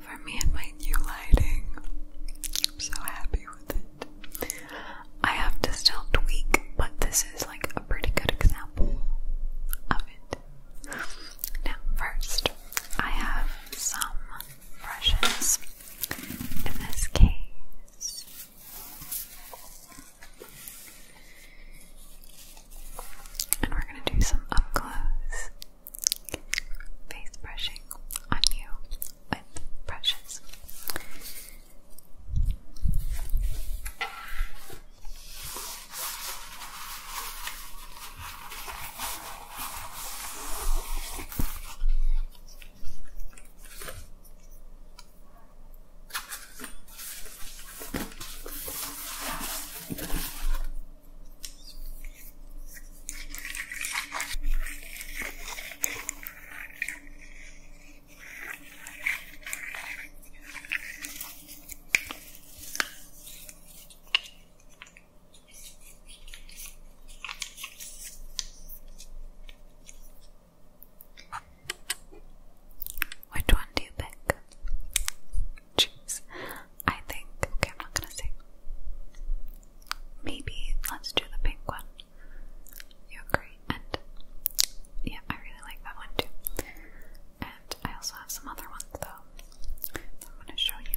For me and my new lighting, I'm so happy with it. I have to still tweak, but this is like a pretty good example of it. Now, first, I have some brushes. In this case, and we're going to do some up close face brushing on you with brushes. Which one do you pick? choose. I think, okay, I'm not gonna say. Maybe let's do the pink one. You agree? And yeah, I really like that one too. And I also have some other ones though I'm gonna show you.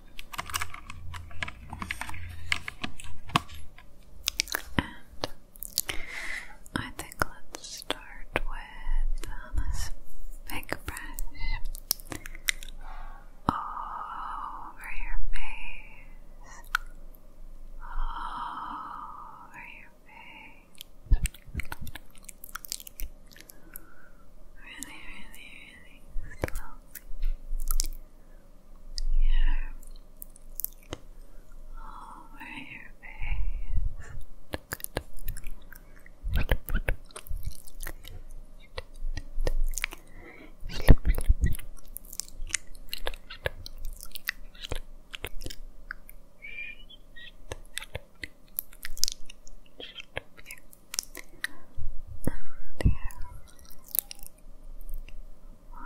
And I think let's start with uh, this big brush over your face, over your face. Really, really, breathing slowly over your face and here one, two, three, four, five,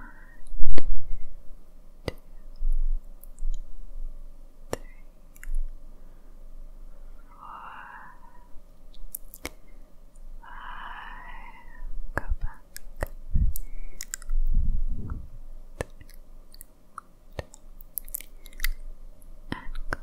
go back and go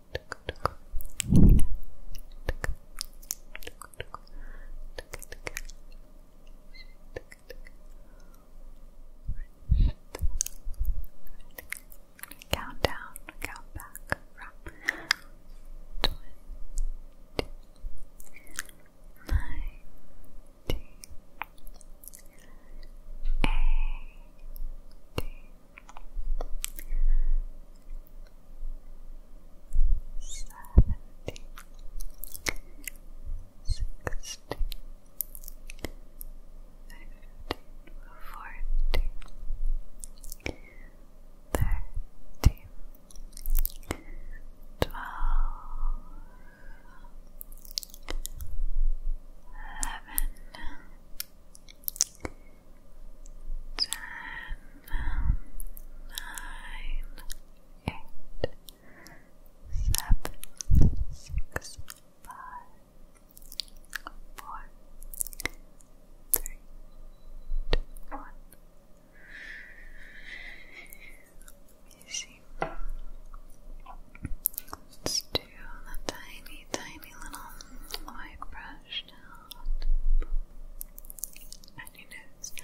Count down, count back from twenty nineteen eighteen seventy, sixty, fifty, forty, thirty, twelve, eleven. 10 ten, nine, eight, seven, six, five, four, three, two, one. You see, do the tiny, tiny little white brush and your nose.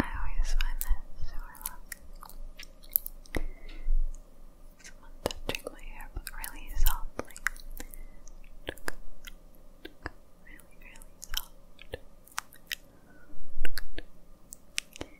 I always find that so relaxing. Someone touching my hair, but really softly. Really, really soft.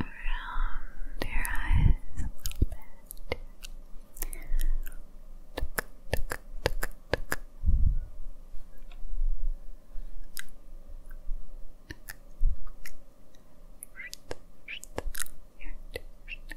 Around your eyes a little bit.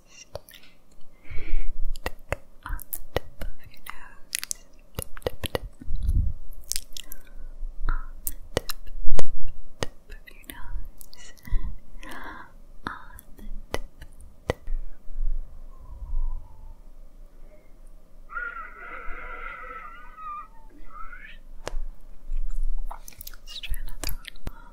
Tick on the tip of your nose. Tip, tip, tip. On the tip, tip, tip of your nose. On the tip, tip. Let's try another one.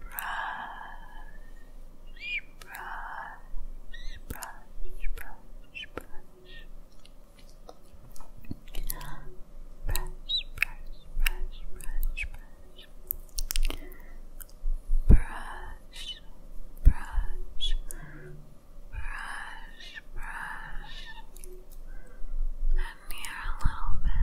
brush, brush, brush, brush, brush. Brush, brush, brush, brush, brush. Brush, brush, brush, brush. And here a little bit.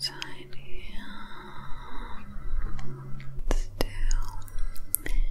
tiny and still Good.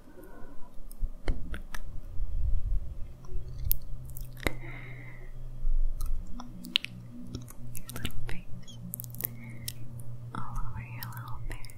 Your little face. All over your little face.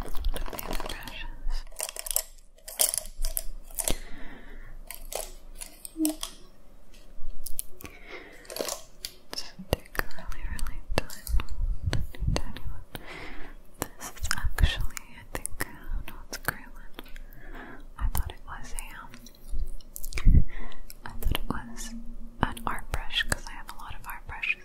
Put the other brushes. So take really, really tiny, This is actually, I think, uh, no, I thought it was a, um, thought it was an art brush because I have a lot of art brushes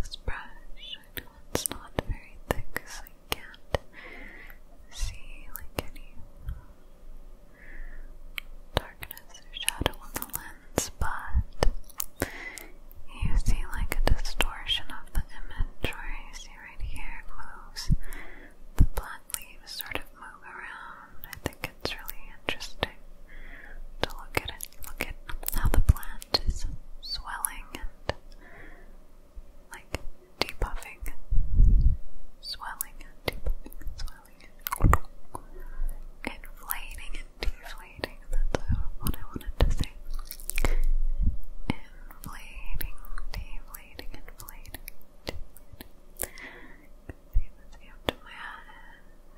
This brush, I know it's not very thick, so you can't see like any darkness or shadow on the lens, but you see like a distortion of the image where you see right here it the black leaves sort of move around. I think it's really interesting to look at it, look at how the plant is swelling and like depuffing, swelling and depuffing, swelling, and inflating and deflating. That's what I wanted to say. Inflating, deflating, inflating, deflating seamlessly up to the back, plants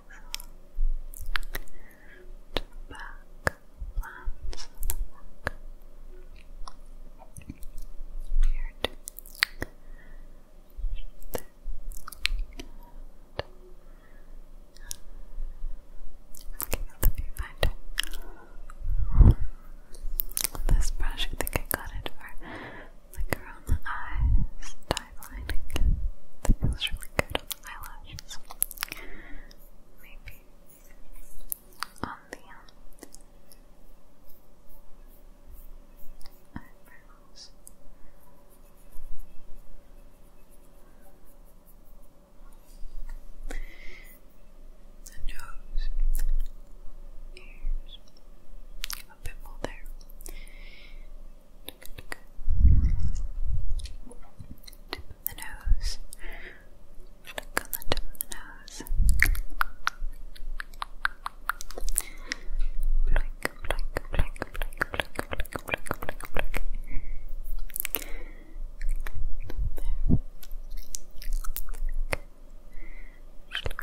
back, beard, okay, let me find it. This brush, I think I got it for Linger on the eyes, dive That feels really good eyelashes. Maybe on the um, eyebrows. The nose, ears, a bit more there. Tip of the nose. Look on the tip of the nose. Blink, blink, blink, blink, blink, blink, blink, blink, blink. Look.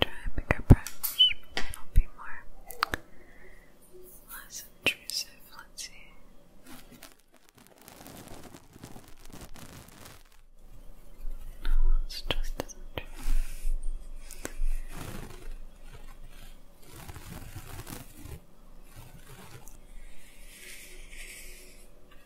Try a bigger brush, it'll be more less intrusive. Let's see. No, it's just as intrusive.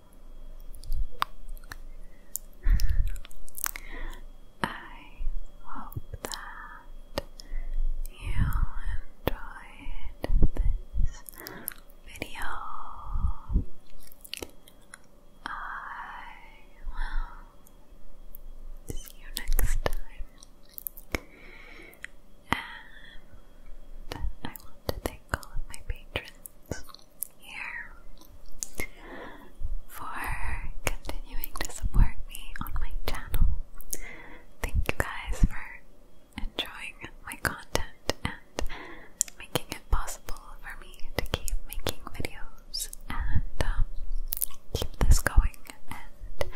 I hope that you enjoyed this video. I will see you next time. And I want to thank all of my patrons here for continuing to support me on my channel. Thank you guys for enjoying my content and making it possible for me to keep making videos and um, keep this going and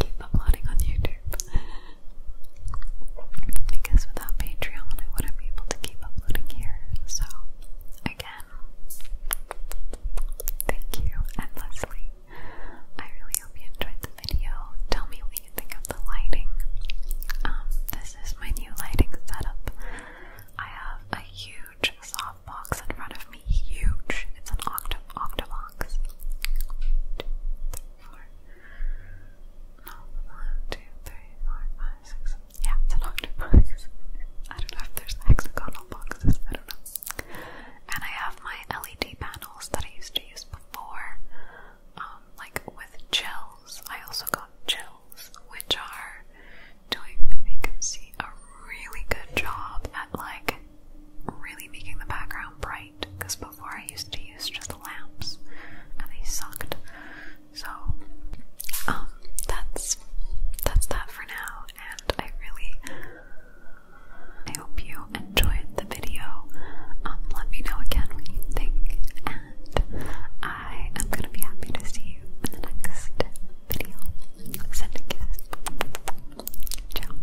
keep uploading on YouTube because without Patreon, I wouldn't be able to keep uploading here. So, again, thank you endlessly. I really hope you enjoyed the video. Tell me what you think of the lighting. Um, this is my new lighting setup. I have a huge softbox in front of me. Huge. It's an octo octobox. Two, three, four. No, one, two, three, four, five, six. Yeah, it's an octobox. I don't know if there's hexagonal boxes, I don't know. And I have my LED panels that I used to use before, like with gels. I also got gels, which are doing, you can see, a really good job at like really making the background bright because before I used to use just lamps and they sucked. So um that's that's that for now and I really I hope you enjoyed the video. Um let me know again what you think and I am gonna be happy to see you in the next video. Send a Ciao.